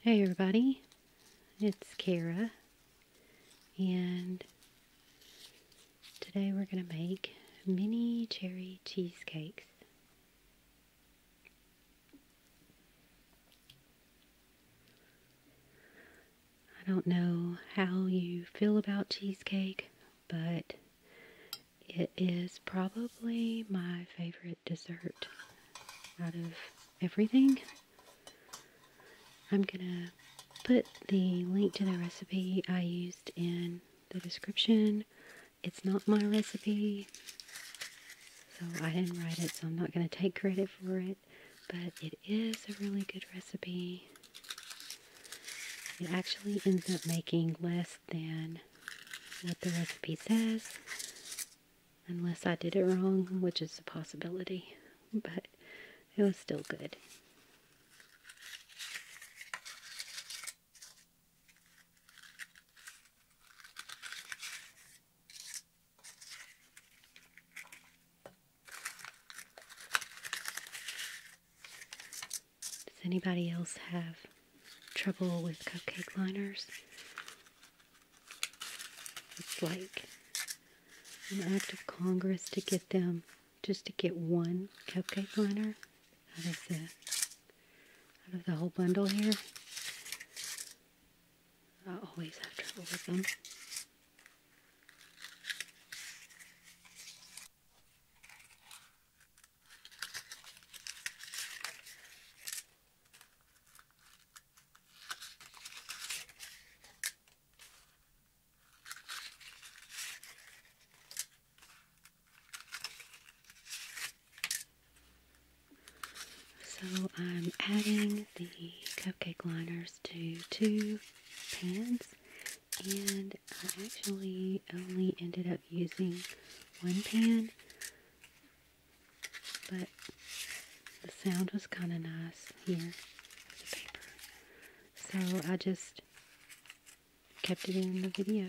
Hey everybody, it's Kara, and today we're going to make mini cherry cheesecakes. I don't know how you feel about cheesecake but it is probably my favorite dessert out of everything. I'm gonna put the link to the recipe I used in the description. It's not my recipe, so I didn't write it, so I'm not gonna take credit for it, but it is a really good recipe. It actually ends up making less than what the recipe says, unless I did it wrong, which is a possibility, but it was still good. Does anybody else have trouble with cupcake liners? It's like an act of Congress to get them, just to get one cupcake liner out of the, whole bundle here. I always have trouble with them. So I'm adding the cupcake liners to two pans and I actually only ended up using one pan, but the sound was kind of nice here so I just kept it in the video.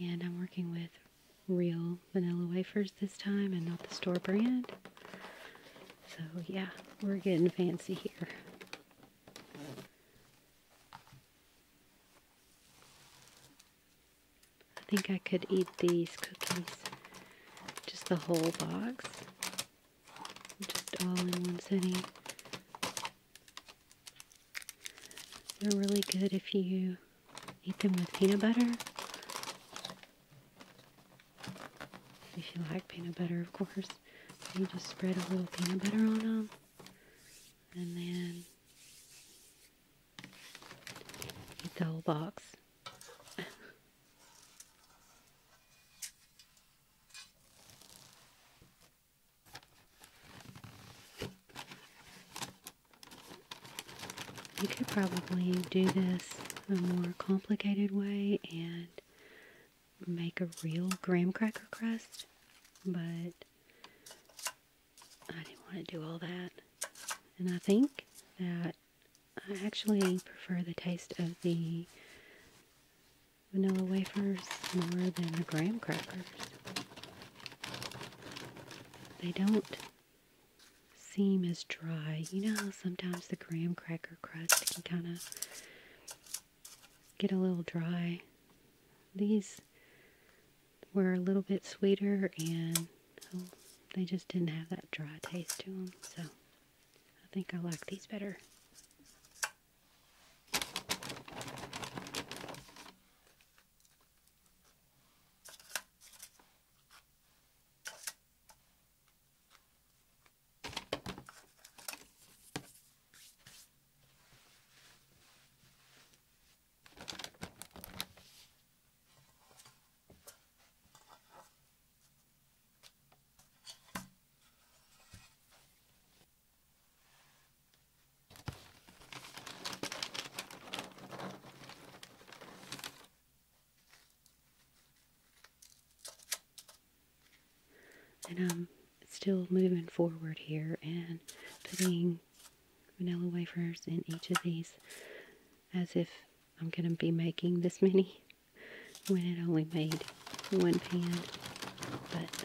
And I'm working with real vanilla wafers this time and not the store brand. So yeah, we're getting fancy here. I think I could eat these cookies. Just the whole box. Just all in one sitting. They're really good if you eat them with peanut butter. If you like peanut butter, of course. You just spread a little peanut butter on them. And then the whole box. you could probably do this a more complicated way and make a real graham cracker crust, but I didn't want to do all that. And I think that I actually prefer the taste of the vanilla wafers more than the graham crackers. They don't seem as dry. You know sometimes the graham cracker crust can kind of get a little dry. These were a little bit sweeter and oh, they just didn't have that dry taste to them. So I think I like these better. And I'm still moving forward here and putting vanilla wafers in each of these as if I'm going to be making this many when it only made one pan, but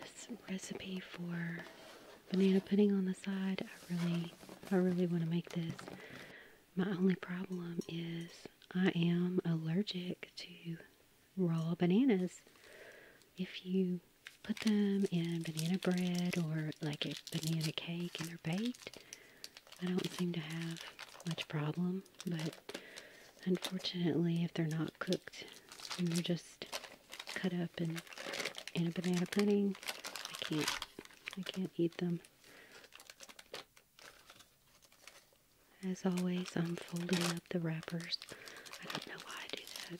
This recipe for banana pudding on the side, I really, I really want to make this. My only problem is I am allergic to raw bananas. If you put them in banana bread or like a banana cake and they're baked, I don't seem to have much problem but unfortunately, if they're not cooked and they're just cut up and in a banana pudding, I can't, I can't eat them. As always, I'm folding up the wrappers. I don't know why I do that.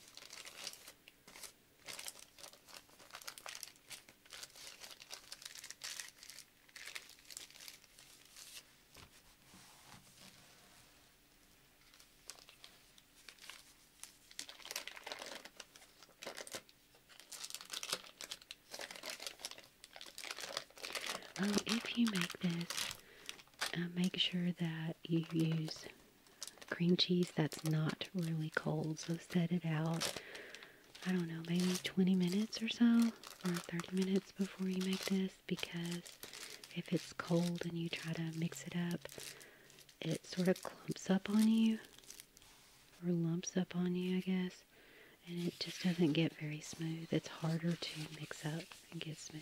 Oh, if you make this, uh, make sure that you use cream cheese that's not really cold, so set it out I don't know, maybe 20 minutes or so, or 30 minutes before you make this because if it's cold and you try to mix it up, it sort of clumps up on you, or lumps up on you, I guess, and it just doesn't get very smooth. It's harder to mix up and get smooth.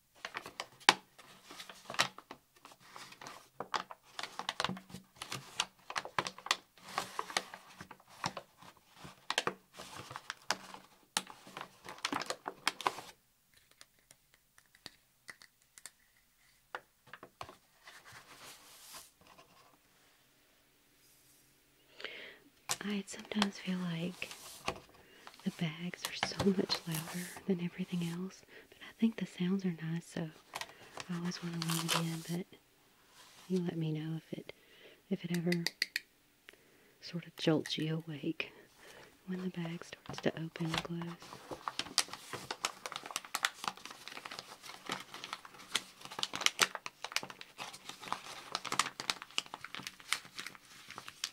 I sometimes feel like the bags are so much louder than everything else, but I think the sounds are nice, so I always want to leave again, but you let me know if it if it ever sort of jolts you awake when the bag starts to open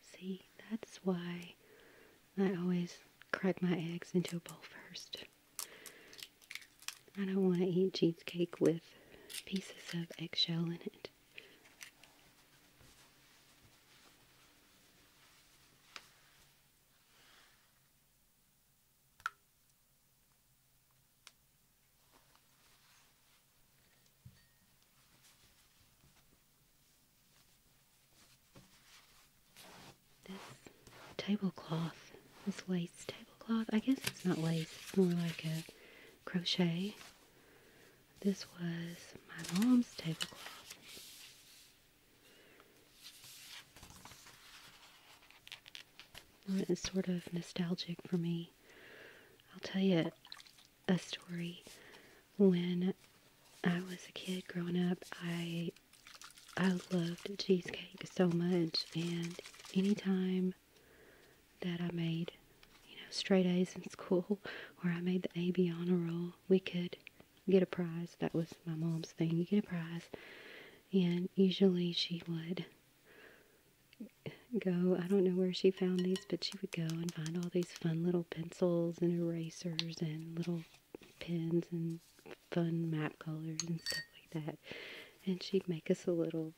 See, that's why I always crack my eggs into a bowl first. I don't want to eat cheesecake with pieces of eggshell in it. This tablecloth, this lace tablecloth, I guess it's not lace, it's more like a crochet. This was my mom's tablecloth. And it's sort of nostalgic for me. I'll tell you a story. When I was a kid growing up, I I loved cheesecake so much, and anytime that I made, you know, straight A's in school or I made the AB honor roll, we could get a prize. That was my mom's thing. You get a prize. And usually she would go, I don't know where she found these, but she would go and find all these fun little pencils and erasers and little pens and fun map colors and stuff like that. And she'd make us a little,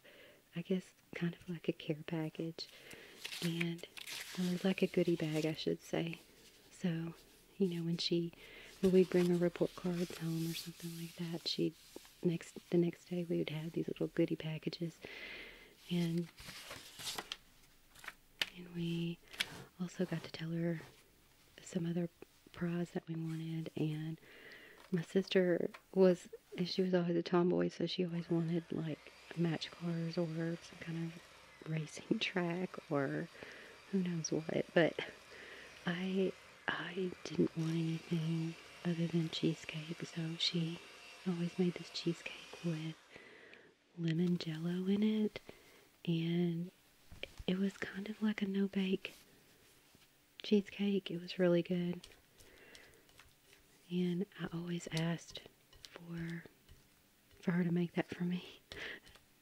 I guess, kind of like a care package. And uh, like a goodie bag, I should say. So, you know, when she, we'd bring her report cards home or something like that, she'd, next, the next day we would have these little goodie packages. And and we also got to tell her some other prize that we wanted and my sister was she was always a tomboy so she always wanted like match cars or some kind of racing track or who knows what but i i didn't want anything other than cheesecake so she always made this cheesecake with lemon jello in it, and it was kind of like a no bake cheesecake. It was really good. And I always asked for for her to make that for me.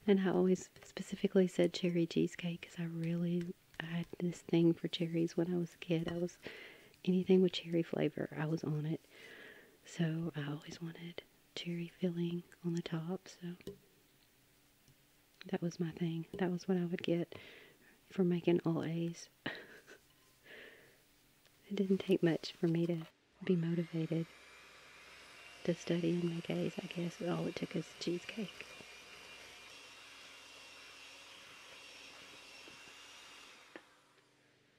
And I always specifically said cherry cheesecake because I really I had this thing for cherries when I was a kid. I was anything with cherry flavor, I was on it. So I always wanted cherry filling on the top. So that was my thing. That was what I would get for making all A's. it didn't take much for me to be motivated to study and make A's. I guess all it took was cheesecake.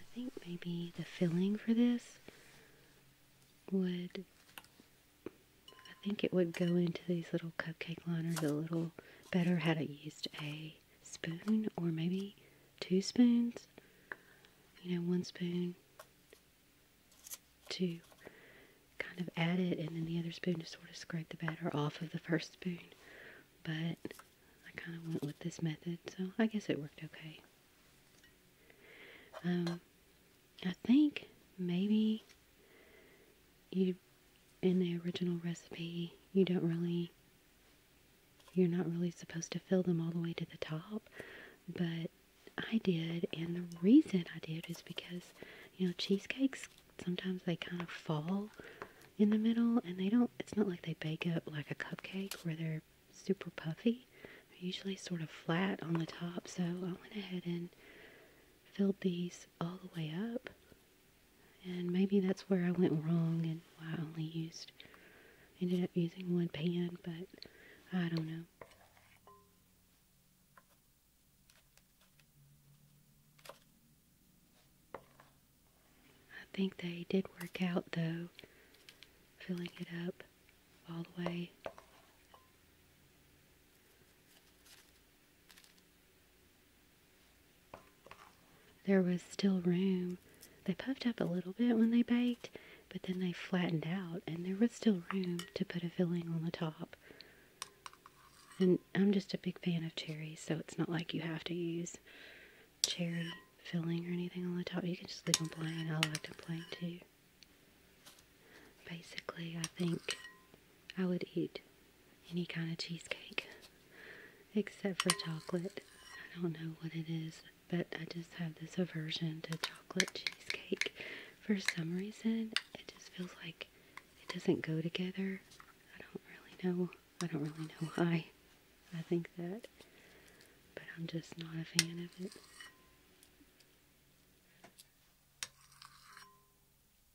I think maybe the filling for this would I think it would go into these little cupcake liners a little better had I used a spoon or maybe two spoons. You know, one spoon to kind of add it and then the other spoon to sort of scrape the batter off of the first spoon. But I kind of went with this method, so I guess it worked okay. Um, I think maybe you in the original recipe you don't really you're not really supposed to fill them all the way to the top but I did and the reason I did is because you know cheesecakes sometimes they kind of fall in the middle and they don't it's not like they bake up like a cupcake where they're super puffy they're usually sort of flat on the top so I went ahead and filled these all the way up and maybe that's where I went wrong and why I only used, ended up using one pan, but I don't know. I think they did work out though, filling it up all the way. There was still room. They puffed up a little bit when they baked, but then they flattened out and there was still room to put a filling on the top. And I'm just a big fan of cherries, so it's not like you have to use cherry filling or anything on the top. You can just leave them plain. I like them plain too. Basically, I think I would eat any kind of cheesecake except for chocolate. I don't know what it is, but I just have this aversion to chocolate cheesecake. For some reason, it just feels like it doesn't go together. I don't really know. I don't really know why I think that, but I'm just not a fan of it.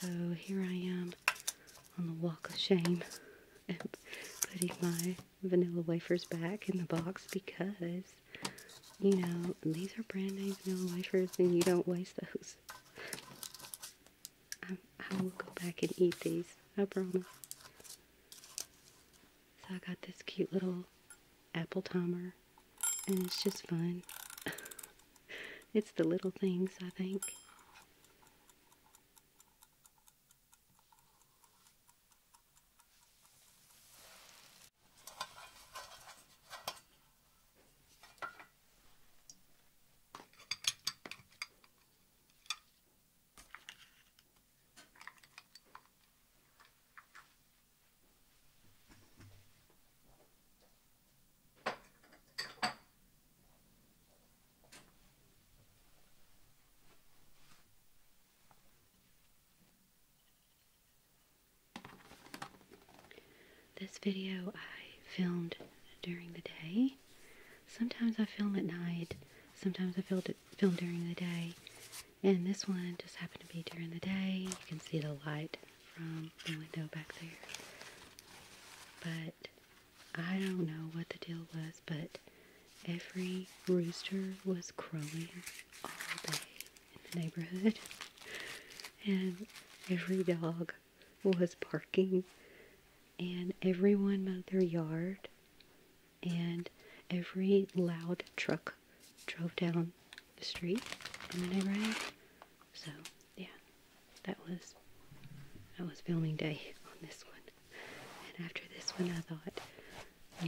So here I am on the walk of shame putting my vanilla wafers back in the box because, you know, these are brand name vanilla wafers and you don't waste those. Um, I, will go back and eat these, I promise. So I got this cute little apple timer and it's just fun. It's the little things, I think. This video I filmed during the day. Sometimes I film at night. Sometimes I film, film during the day. And this one just happened to be during the day. You can see the light from the window back there. But I don't know what the deal was, but every rooster was crowing all day in the neighborhood, and every dog was barking, and everyone mowed their yard, and every loud truck drove down the street in the neighborhood. So yeah, that was that was filming day on this one. And after this one I thought,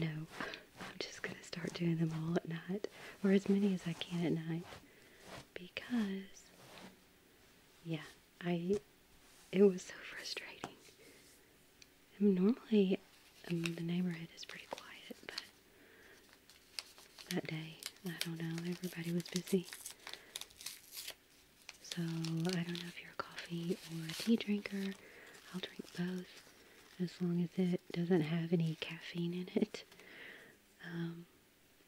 no, I'm just gonna start doing them all at night. Or as many as I can at night. Because yeah, I it was so frustrating. normally um, the neighborhood is pretty quiet, but that day. I don't know, everybody was busy. So, I don't know if you're a coffee or a tea drinker. I'll drink both as long as it doesn't have any caffeine in it. Um,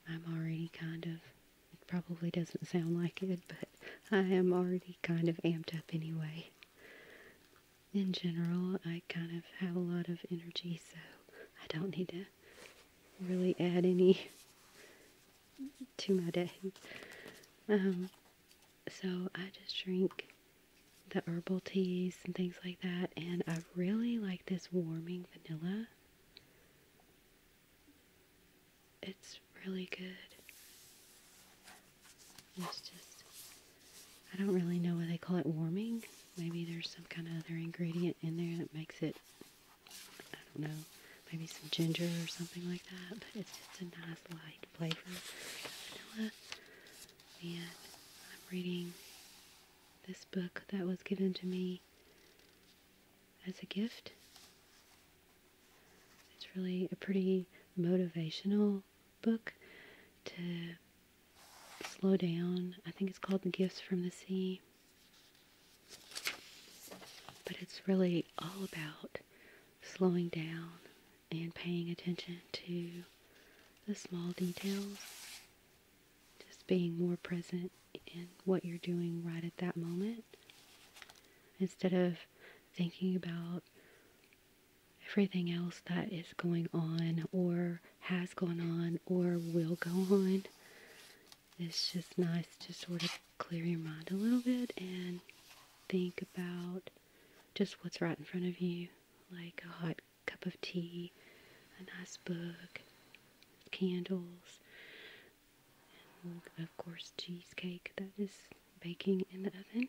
I'm already kind of, it probably doesn't sound like it, but I am already kind of amped up anyway. In general, I kind of have a lot of energy, so I don't need to really add any to my day. Um, so I just drink the herbal teas and things like that, and I really like this warming vanilla. It's really good. It's just, I don't really know why they call it warming. Maybe there's some kind of other ingredient in there that makes it, I don't know, maybe some ginger or something like that. But it's just a nice light flavor vanilla. And I'm reading this book that was given to me as a gift. It's really a pretty motivational book to slow down. I think it's called The Gifts from the Sea. But it's really all about slowing down and paying attention to the small details. Just being more present in what you're doing right at that moment. Instead of thinking about everything else that is going on or has gone on or will go on. It's just nice to sort of clear your mind a little bit and think about just what's right in front of you, like a hot cup of tea, a nice book, candles, and of course cheesecake that is baking in the oven.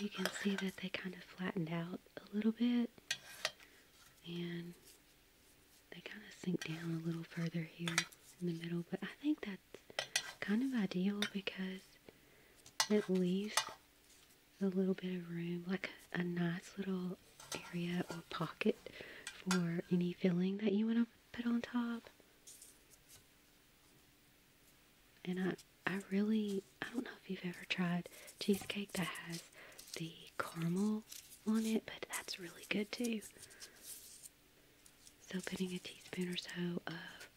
You can see that they kind of flattened out a little bit and they kind of sink down a little further here in the middle but I think that's kind of ideal because at least a little bit of room, like a, nice little area or pocket for any filling that you want to put on top. And I, I really, I don't know if you've ever tried cheesecake that has the caramel on it, but that's really good too. So putting a teaspoon or so of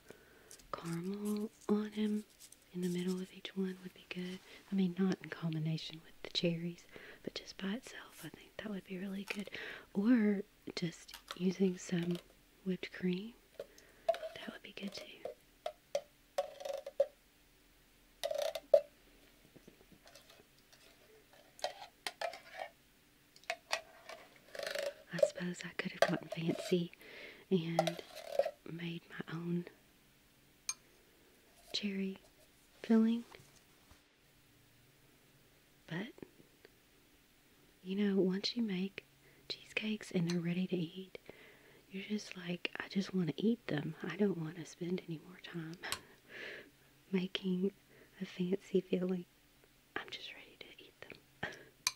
caramel on him in the middle of each one would be good. I mean, not in combination with the cherries, but just by itself, I think that would be really good. Or just using some whipped cream, that would be good too. I suppose I could have gotten fancy and made my own cherry filling. But you know, once you make cheesecakes and they're ready to eat, you're just like, I just want to eat them. I don't want to spend any more time making a fancy filling. I'm just ready to eat them.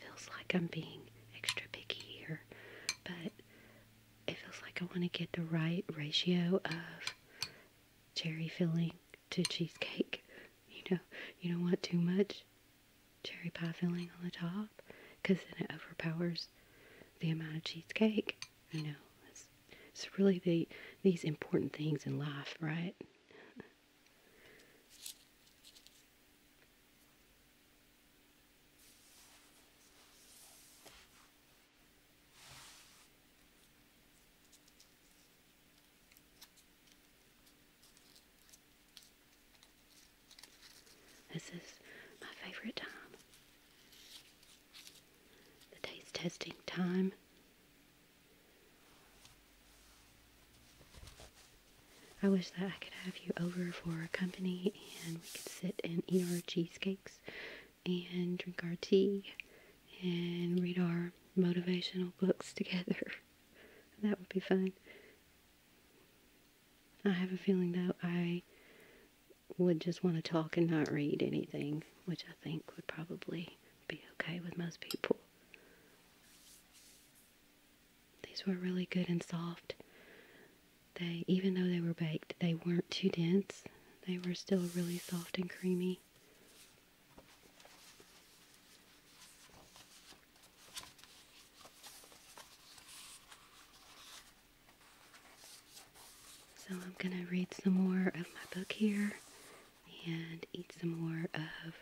Feels like I'm being extra picky here, but it feels like I want to get the right ratio of cherry filling to cheesecake. You know, you don't want too much cherry pie filling on the top because then it overpowers the amount of cheesecake. You know, it's, it's really the, these important things in life, right? This is my favorite time the taste testing time. I wish that I could have you over for a company and we could sit and eat our cheesecakes and drink our tea and read our motivational books together. that would be fun. I have a feeling though, I would just want to talk and not read anything, which I think would probably be okay with most people. These were really good and soft. They, even though they were baked, they weren't too dense. They were still really soft and creamy. So I'm going to read some more of my book here and eat some more of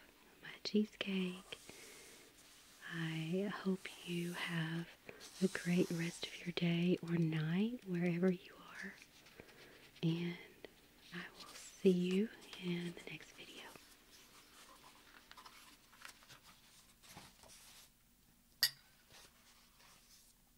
my cheesecake. I hope you have a great rest of your day or night wherever you are. And I will see you in the next video.